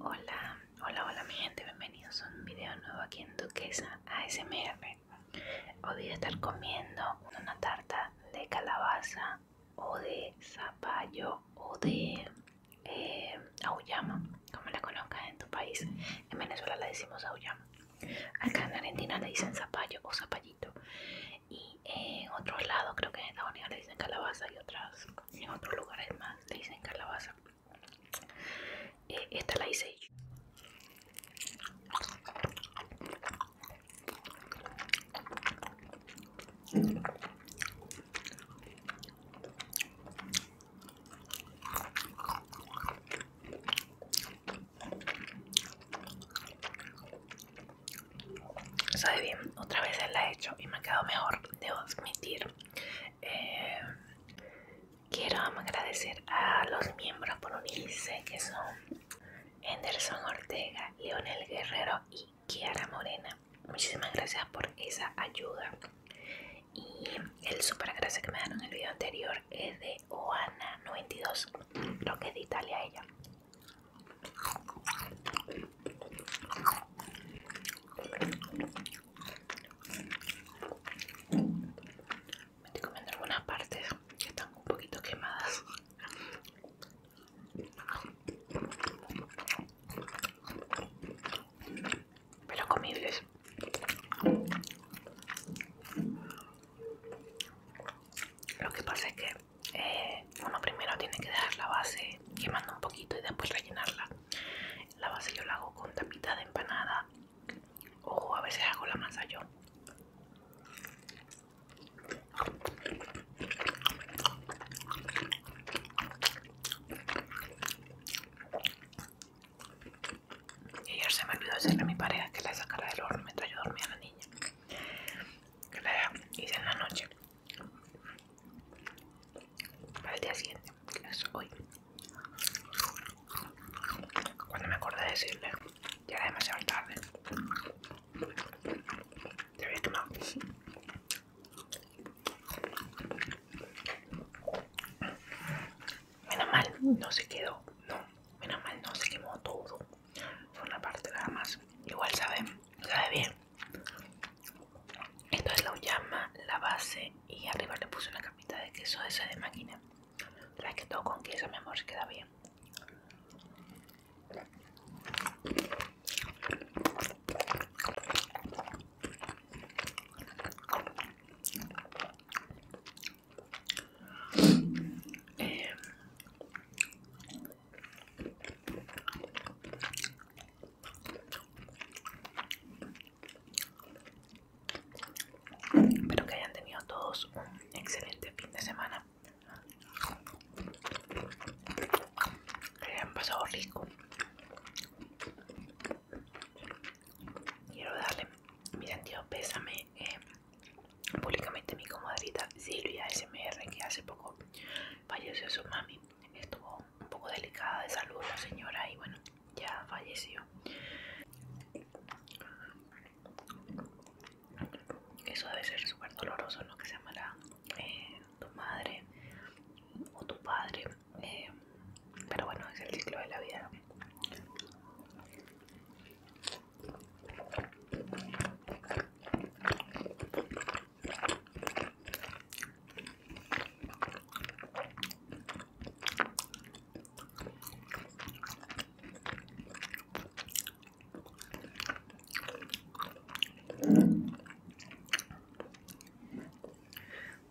Hola, hola, hola mi gente, bienvenidos a un video nuevo aquí en Duquesa ASMR. Hoy voy a estar comiendo una tarta de calabaza o de zapallo o de eh, como la conozcas en tu país. En Venezuela la decimos auyama. Acá en Argentina le dicen zapallo o zapallito. Y en otros lados, creo que en Estados Unidos le dicen calabaza y otras, en otros lugares más le dicen calabaza. Eh, esta la hice Sabe bien, otra vez la he hecho y me ha quedado mejor, debo admitir. Eh, quiero agradecer a los miembros por unirse, que son Henderson Ortega, Leonel Guerrero y Kiara Morena. Muchísimas gracias por esa ayuda. Y el super gracias que me dieron en el video anterior es de Oana92, creo que es de Italia ella. Me estoy comiendo algunas partes que están un poquito quemadas. Pero comibles. Lo que pasa es que eh, uno primero tiene que dejar la base quemando un poquito y después rellenarla. La base yo la hago con tapita de empanada o a veces hago la masa yo. Y ayer se me olvidó decirle a mi pareja que la sacara del horno mientras yo dormía a la niña. Que la hice en la noche para el día siguiente, que es hoy. Cuando me acordé de decirle, ya era demasiado tarde. Te había quemado. Menos mal, no se quedó. No, menos mal, no se quemó todo. Fue una parte nada más. Igual sabe, sabe bien es la llama la base y arriba le puse una capita de queso ese de máquina. La que todo con queso, mi amor, se queda bien. Espero que hayan tenido todos un excelente fin de semana. Que hayan pasado rico. Quiero darle eh, mi sentido pésame públicamente a mi comadrita Silvia SMR que hace poco falleció su mami estuvo un poco delicada de salud la señora y bueno, ya falleció. Eso debe ser súper doloroso, lo Que se llama eh, tu madre o tu padre. Eh, pero bueno, es el ciclo de la vida.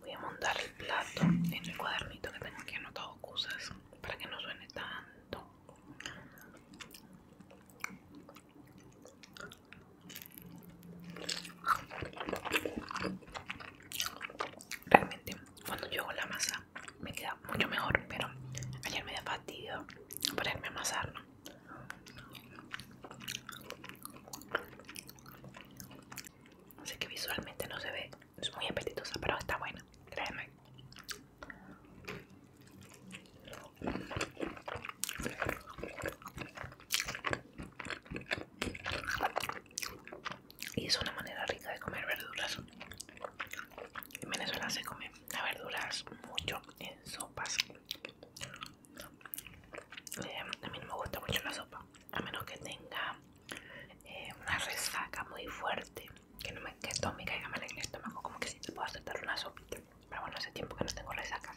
Voy a montar el plato en el cuadernito que tengo aquí anotado cosas para que no suene tanto. Realmente cuando yo la masa me queda mucho mejor, pero ayer me da fastidio ponerme a amasar. Así que visualmente no se ve, es muy apetitosa, pero está buena, créeme. Y es una manera rica de comer verduras. En Venezuela se come las verduras mucho en sopas. Eh, a mí no me gusta mucho la sopa, a menos que tenga eh, una resaca muy fuerte, que no me, que me caiga mal en el estómago, como que si te puedo aceptar una sopa. Pero bueno, hace tiempo que no tengo resacas.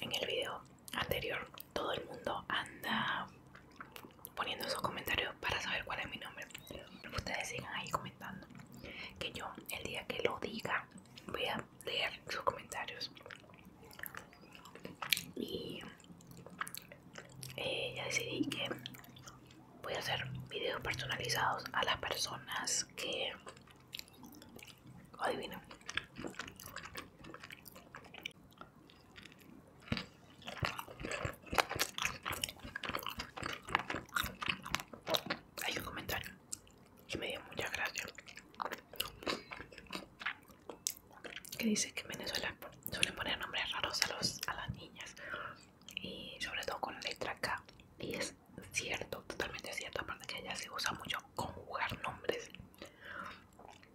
En el video anterior todo el mundo anda poniendo sus comentarios para saber cuál es mi nombre. Ustedes sigan ahí comentando. Que yo el día que lo diga voy a leer sus comentarios. Y eh, ya decidí que voy a hacer videos personalizados a las personas que adivinen. Hay un comentario que me dio muchas gracias. Que dice que en Venezuela suelen poner nombres raros a, los, a las niñas y sobre todo con la letra K. Y es cierto, totalmente cierto. Aparte que allá se usa mucho conjugar nombres.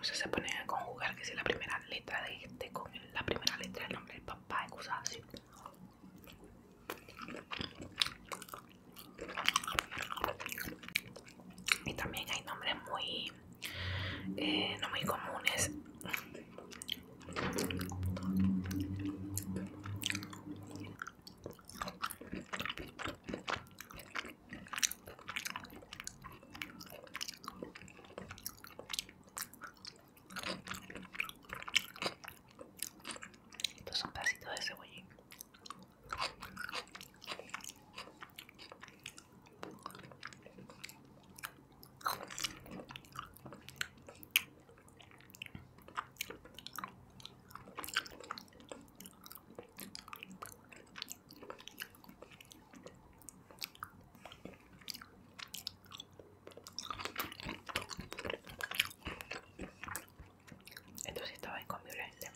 O sea, se ponen a conjugar que si la primera letra de este con la primera letra del nombre del papá excusado. así. Y también hay nombres muy eh, no muy comunes. Esto es un pedacito de cebollín. Entonces estaba con violencia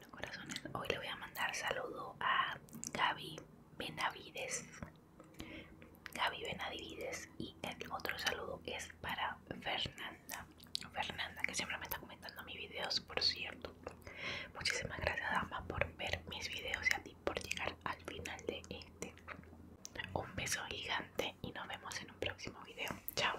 bueno, corazones, hoy le voy a mandar saludo a Gaby Benavides. Gaby Benavides y el otro saludo es para Fernanda. Fernanda, que siempre me está comentando mis videos, por cierto. Muchísimas gracias, dama, por ver mis videos y a ti por llegar al final de este. Un beso gigante y nos vemos en un próximo video. Chao.